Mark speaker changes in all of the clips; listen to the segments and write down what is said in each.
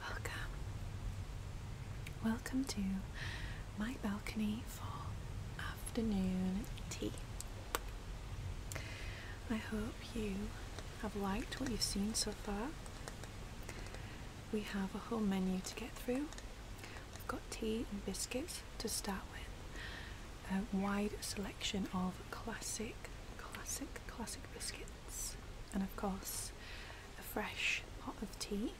Speaker 1: Hi. Welcome. Welcome to my balcony for afternoon tea. I hope you have liked what you've seen so far. We have a whole menu to get through. We've got tea and biscuits to start with. A wide selection of classic, classic, classic biscuits and of course, a fresh pot of tea.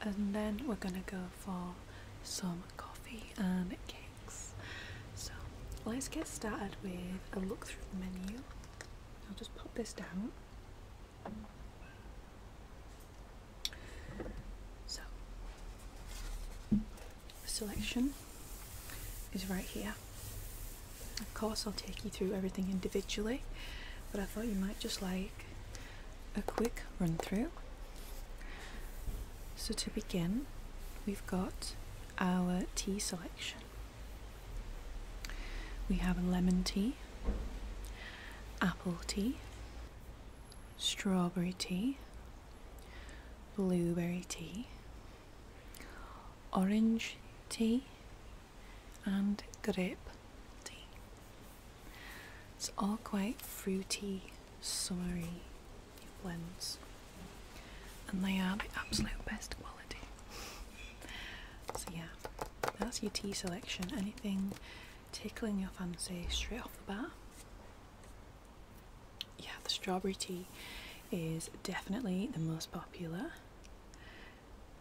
Speaker 1: And then we're gonna go for some coffee and cakes. So let's get started with a look through the menu. I'll just pop this down. So, selection is right here. Of course, I'll take you through everything individually, but I thought you might just like a quick run through. So, to begin, we've got our tea selection. We have lemon tea, apple tea, strawberry tea, blueberry tea, orange tea and grape tea. It's all quite fruity, summery blends, and they are the absolute best quality. so, yeah, that's your tea selection. Anything tickling your fancy straight off the bat? yeah, the strawberry tea is definitely the most popular.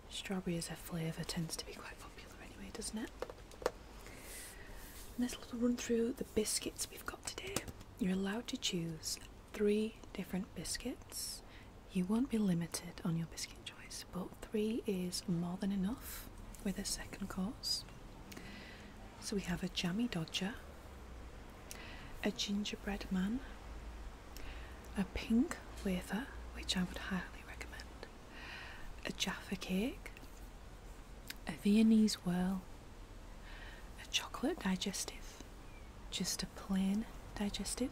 Speaker 1: Strawberry as a flavour tends to be quite popular anyway, doesn't it? Let's run through the biscuits we've got today. You're allowed to choose three different biscuits. You won't be limited on your biscuit choice, but three is more than enough with a second course. So we have a jammy dodger, a gingerbread man, a pink wafer, which I would highly recommend, a Jaffa cake, a Viennese whirl, a chocolate digestive, just a plain digestive,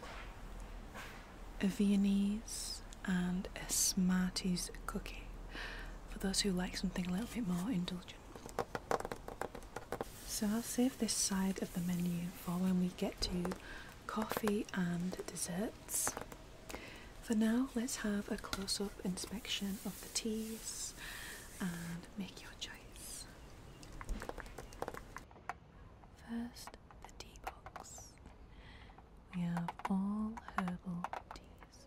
Speaker 1: a Viennese, and a Smarties cookie for those who like something a little bit more indulgent. So I'll save this side of the menu for when we get to coffee and desserts. For now, let's have a close-up inspection of the teas and make your choice. First, the tea box. We have all herbal teas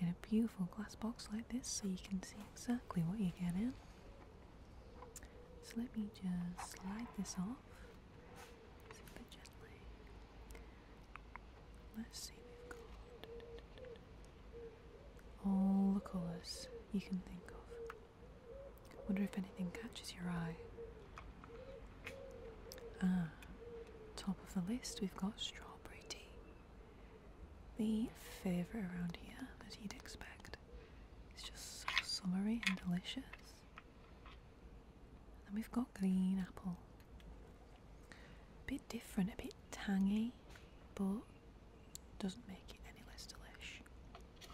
Speaker 1: in a beautiful glass box like this so you can see exactly what you're getting. So let me just slide this off super gently. Let's see, if we've got all the colours you can think of. Wonder if anything catches your eye. Ah, top of the list, we've got strawberry tea. The favourite around here, as you'd expect. It's just so summery and delicious. And then we've got green apple. A bit different, a bit tangy, but doesn't make it any less delicious.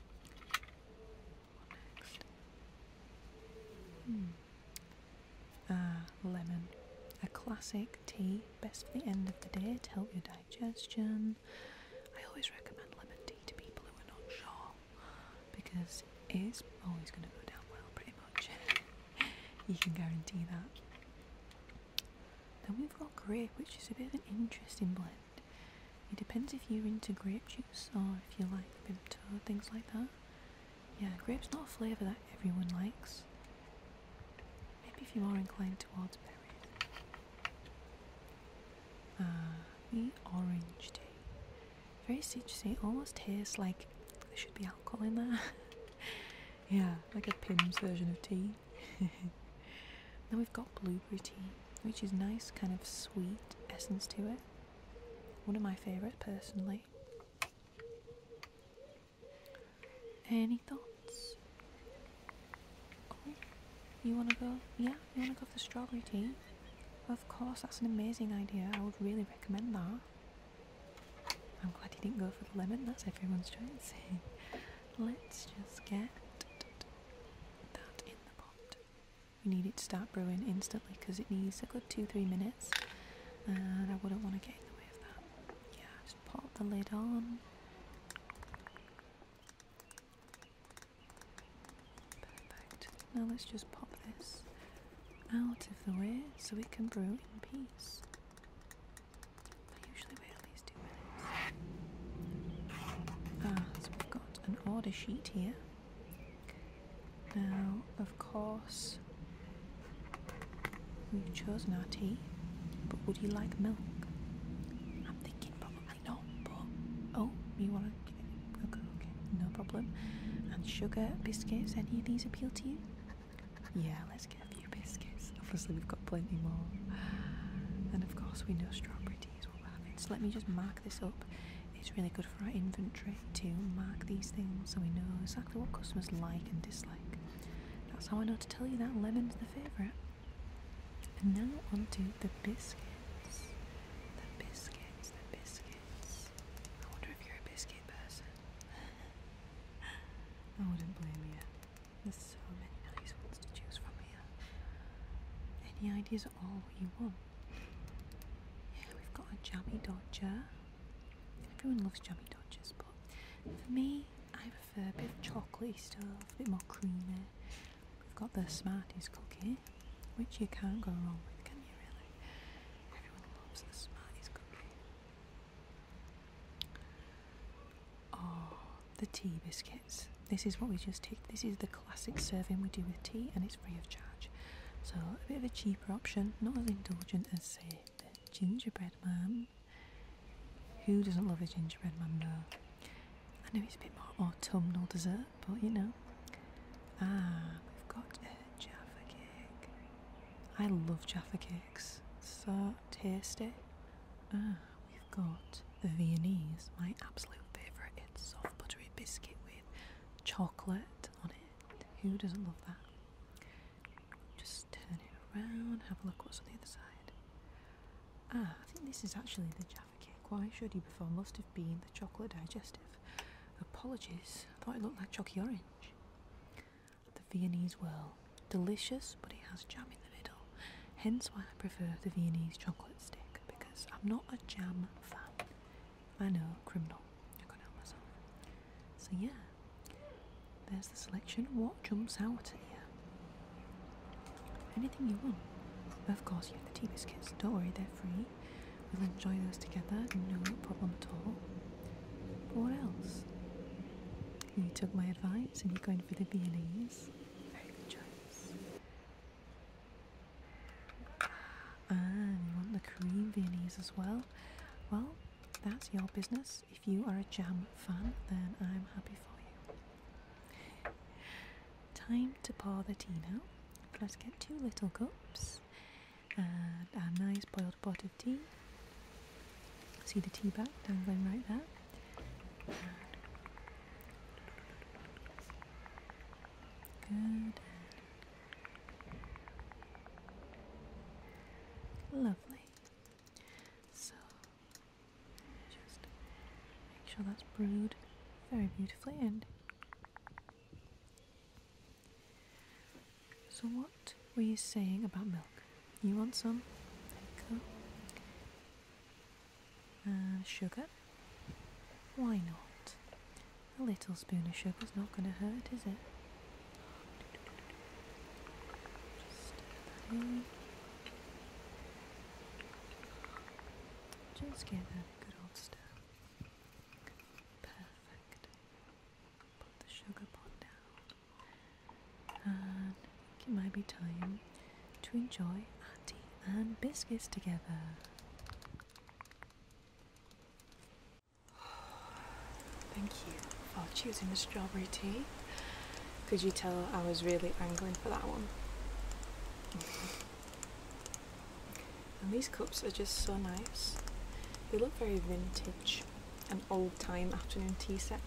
Speaker 1: What next? Hmm. Ah, lemon. A classic tea, best for the end of the day to help your digestion. I always recommend lemon tea to people who are not sure because it is always going to go down well, pretty much. you can guarantee that. Then we've got grape, which is a bit of an interesting blend. It depends if you're into grape juice or if you like Vimto, things like that. Yeah, grape's not a flavour that everyone likes. Maybe if you're more inclined towards uh, the orange tea. Very citrusy, almost tastes like there should be alcohol in there. yeah, like a Pim's version of tea. then we've got blueberry tea, which is nice, kind of sweet essence to it. One of my favourite personally. Any thoughts? you wanna go? Yeah, you wanna go for the strawberry tea? Of course, that's an amazing idea. I would really recommend that. I'm glad you didn't go for the lemon. That's everyone's choice. Let's just get that in the pot. We need it to start brewing instantly because it needs a good two, three minutes, and I wouldn't want to get in the way of that. Yeah, just pop the lid on. Perfect. Now let's just pop this out of the way so we can brew in peace. I usually wait at least two minutes. Ah, so we've got an order sheet here. Now, of course, we've chosen our tea, but would you like milk? I but oh, you want to? Okay, okay, no problem. And sugar biscuits? Any of these appeal to you? Yeah, let's get a few biscuits. Obviously, we've got plenty more. And of course, we know strawberry tea is what we're having. So let me just mark this up. It's really good for our inventory to mark these things so we know exactly what customers like and dislike. That's how I know to tell you that lemon's the favourite. And now onto the biscuits. The biscuits, the biscuits. I wonder if you're a biscuit person. I wouldn't blame you. There's so many nice ones to choose from here. Any ideas at all what you want? Yeah, we've got a jammy dodger. Everyone loves jammy dodgers, but for me, i have a a bit of chocolatey stuff, a bit more creamy. We've got the Smarties cookie, which you can't go wrong with, can you really? Everyone loves the Smarties cookie. Oh, the tea biscuits. This is what we just took. This is the classic serving we do with tea, and it's free of charge. So a bit of a cheaper option, not as indulgent as say the gingerbread man. Who doesn't love a gingerbread man though? I know it's a bit more autumnal dessert, but you know. Ah, we've got a Jaffa cake. I love Jaffa cakes. So tasty. Ah, we've got the Viennese, my absolute favourite. It's soft buttery biscuit with chocolate on it. Who doesn't love that? Just turn it around, have a look what's on the other side. Ah, I think this is actually the Jaffa cake. Why should you before must have been the chocolate digestive? Apologies, thought it looked like chalky orange. The Viennese whirl. Delicious, but it has jam in the middle. Hence why I prefer the Viennese chocolate stick, because I'm not a jam fan. I know, criminal. I got out myself. So yeah, there's the selection. What jumps out at you? Anything you want. Of course, you have the tea biscuits. Don't worry, they're free. We'll enjoy those together. No problem at all. But what else? You took my advice and you're going for the Viennese. Very good choice. Ah, and you want the cream Viennese as well? Well, that's your business. If you are a jam fan, then I'm happy for you. Time to pour the tea now. Let's get two little cups and a nice boiled pot of tea. See the tea bag dangling right there. Good. Lovely. So just make sure that's brewed very beautifully And So, what were you saying about milk? You want some? There you go. And sugar? Why not? A little spoon of sugar's not going to hurt, is it? Just just give that a good old stir. Perfect. Put the sugar pot down. And it might be time to enjoy our tea and biscuits together. Thank you for choosing the strawberry tea. Could you tell I was really angling for that one? and these cups are just so nice. They look very vintage. An old time afternoon tea set.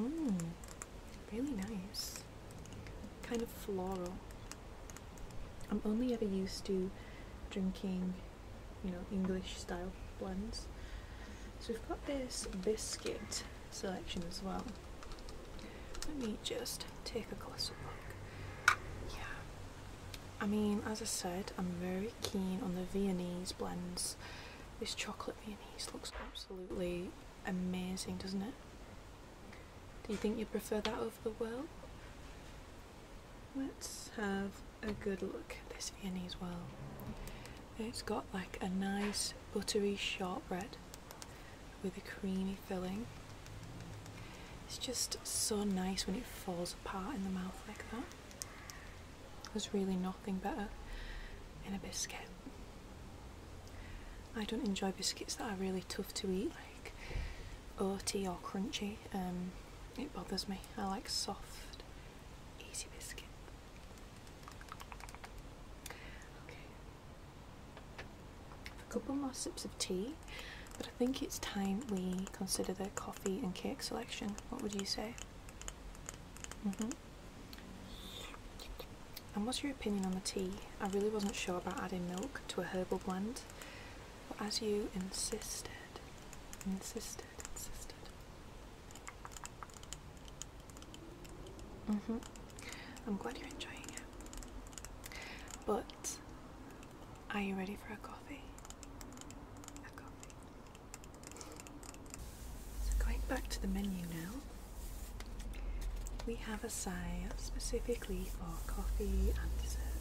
Speaker 1: Mmm, really nice. Kind of floral. I'm only ever used to drinking, you know, English style blends. So we've got this biscuit selection as well. Let me just take a closer look. Yeah. I mean, as I said, I'm very keen on the Viennese blends. This chocolate Viennese looks absolutely amazing, doesn't it? Do you think you would prefer that over the world? Let's have a good look at this Viennese well. It's got like a nice buttery shortbread with a creamy filling. It's just so nice when it falls apart in the mouth like that. There's really nothing better in a biscuit. I don't enjoy biscuits that are really tough to eat, like oaty or crunchy. Um, it bothers me. I like soft, easy biscuit. Okay. A couple more sips of tea, but I think it's time we consider the coffee and cake selection. What would you say? hmm And what's your opinion on the tea? I really wasn't sure about adding milk to a herbal blend as you insisted, insisted, insisted. hmm I'm glad you're enjoying it. But are you ready for a coffee? A So going back to the menu now. We have a side specifically for coffee and desserts.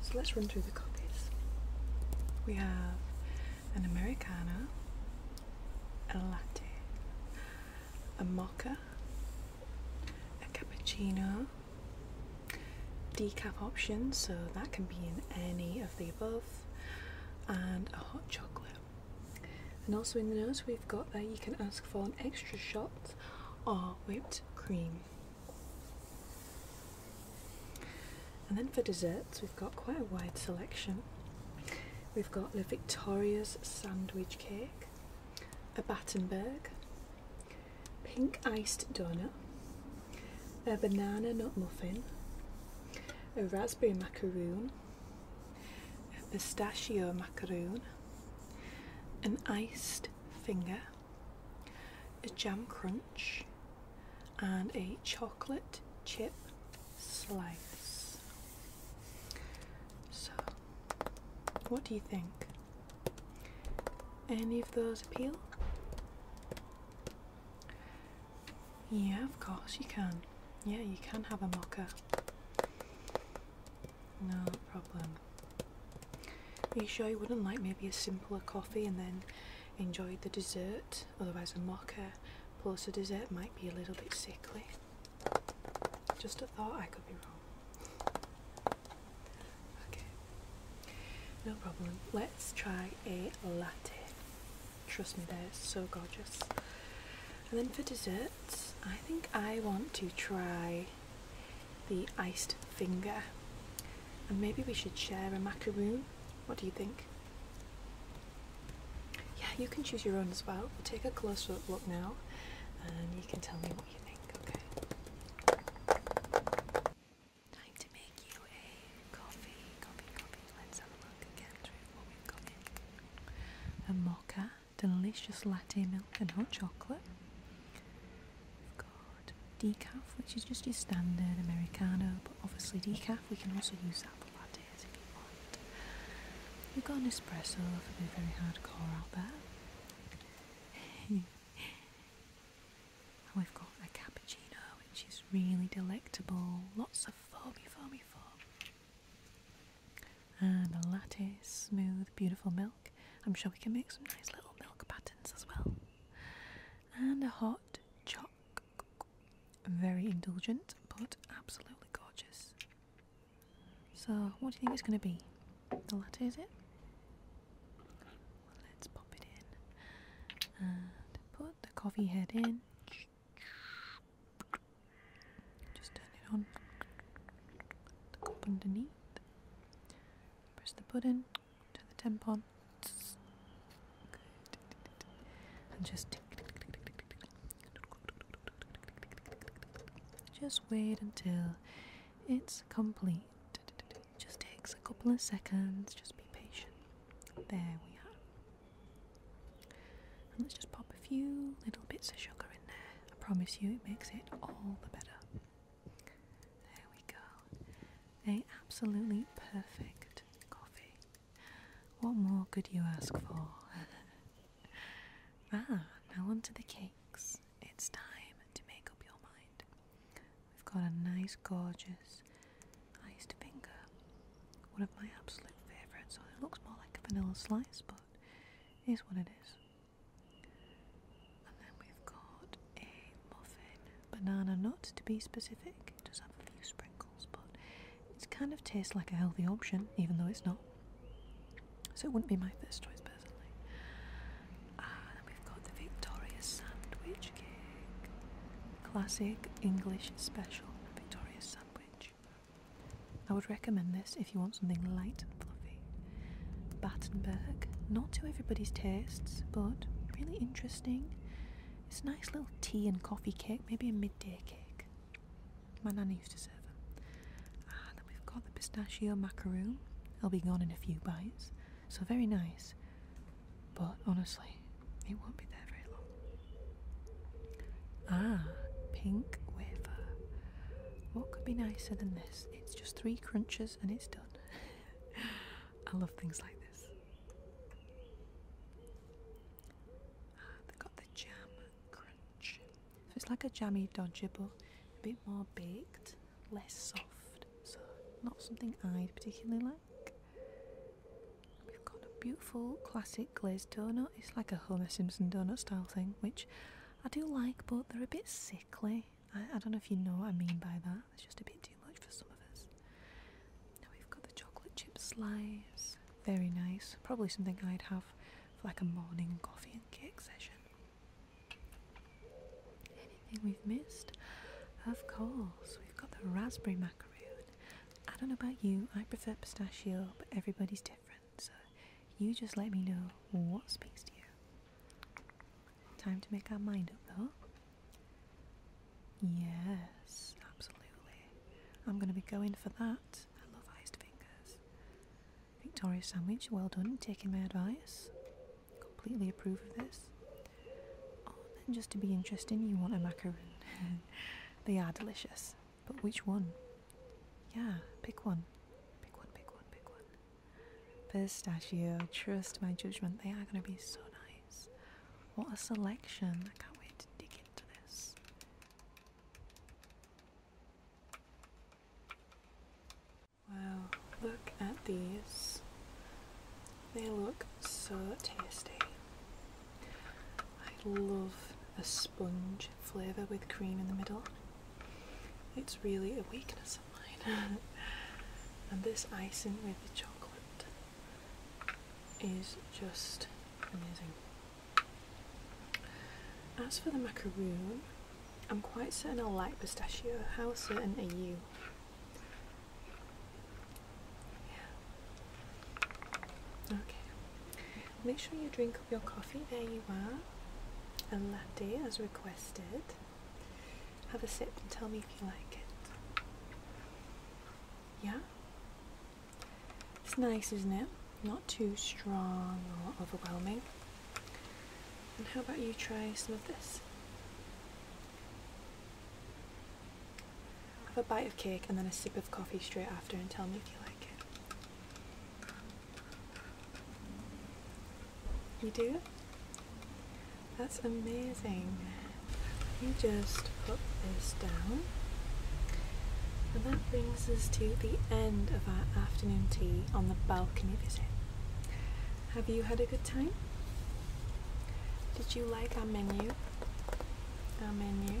Speaker 1: So let's run through the coffees. We have an Americano, a latte, a mocha, a cappuccino, decaf option, so that can be in any of the above, and a hot chocolate. And also in the notes, we've got that you can ask for an extra shot or whipped cream. And then for desserts, we've got quite a wide selection. We've got the Victoria's sandwich cake, a Battenberg, pink iced donut, a banana nut muffin, a raspberry macaroon, a pistachio macaroon, an iced finger, a jam crunch, and a chocolate chip slice. So, what do you think? Any of those appeal? Yeah, of course you can. Yeah, you can have a mocha. No problem. Are you sure you wouldn't like maybe a simpler coffee and then enjoy the dessert? Otherwise, a mocha plus a dessert might be a little bit sickly. Just a thought, I could be wrong. Okay, no problem. Let's try a latte. Trust me, they're so gorgeous. And then for dessert, I think I want to try the iced finger. And maybe we should share a macaroon. What do you think? Yeah, you can choose your own as well. We'll take a closer look now and you can tell me what you think, okay? Time to make you a coffee, coffee, coffee. Let's have a look again through what we've got A mocha, delicious latte milk and hot chocolate decaf, which is just your standard Americano, but obviously decaf, we can also use that for lattes if you want. We've got an espresso for the very hard core out there. and we've got a cappuccino, which is really delectable, lots of foamy, foamy foam. And a latte, smooth, beautiful milk. I'm sure we can make some nice little milk patterns as well. And a hot choc. Very indulgent, but absolutely gorgeous. So, what do you think it's going to be? The latte, is it? let's pop it in and put the coffee head in. Just turn it on. The cup underneath. Press the button. Turn the tempons. Good. And just just wait until it's complete. Just takes a couple of seconds. Just be patient. There we are. And let's just pop a few little bits of sugar in there. I promise you, it makes it all the better. There we go. A absolutely perfect coffee. What more could you ask for? ah, now on the cakes. It's time to make up your mind. We've got a nice, gorgeous iced finger. One of my absolute favourites. So it looks more like a vanilla slice, but here's what it is. And then we've got a muffin, banana nut to be specific. It does have a few sprinkles, but it's kind of tastes like a healthy option, even though it's not. So it wouldn't be my first choice personally. And ah, we've got the Victoria sandwich cake, classic English special Victoria sandwich. I would recommend this if you want something light and fluffy. Battenberg, not to everybody's tastes, but really interesting. It's a nice little tea and coffee cake, maybe a midday cake. My nanny used to serve them. And ah, then we've got the pistachio macaroon. I'll be gone in a few bites, so very nice. But honestly, it won't be there very long. Ah, pink wafer. What could be nicer than this? It's just three crunches and it's done. I love things like this. Ah, they've got the jam crunch. it's like a jammy dodger, but a bit more baked, less soft. So not something I particularly like. We've got a beautiful classic glazed donut. It's like a Homer Simpson donut style thing, which I do like, but they're a bit sickly. I, I don't know if you know what I mean by that. It's just a bit too much for some of us. Now we've got the chocolate chip slice. Very nice. Probably something I'd have for like a morning coffee and cake session. Anything we've missed? Of course, we've got the raspberry macaroon. I don't know about you, I prefer pistachio, but everybody's different, so you just let me know what speaks to you. Time to make our mind up though. Yes, absolutely. I'm going to be going for that. I love iced fingers. Victoria Sandwich, well done, taking my advice. Completely approve of this. Oh, then just to be interesting, you want a macaron. they are delicious. But which one? Yeah, pick one. Pick one, pick one, pick one. Pistachio, trust my judgment, they are going to be so nice. What a selection! I can't wait to dig into this. Wow, look at these. They look so tasty. I love a sponge flavour with cream in the middle. It's really a weakness and this icing with the chocolate is just amazing. As for the macaroon, I'm quite certain I'll like pistachio. How certain are you? Okay. Make sure you drink up your coffee. There you are. A latte as requested. Have a sip and tell me if you like it. Yeah? It's nice, isn't it? Not too strong or overwhelming. And how about you try some of this? Have a bite of cake and then a sip of coffee straight after and tell me if you like it. You do? That's amazing. You just put this down. And that brings us to the end of our afternoon tea on the balcony visit. Have you had a good time? Did you like our menu? Our menu?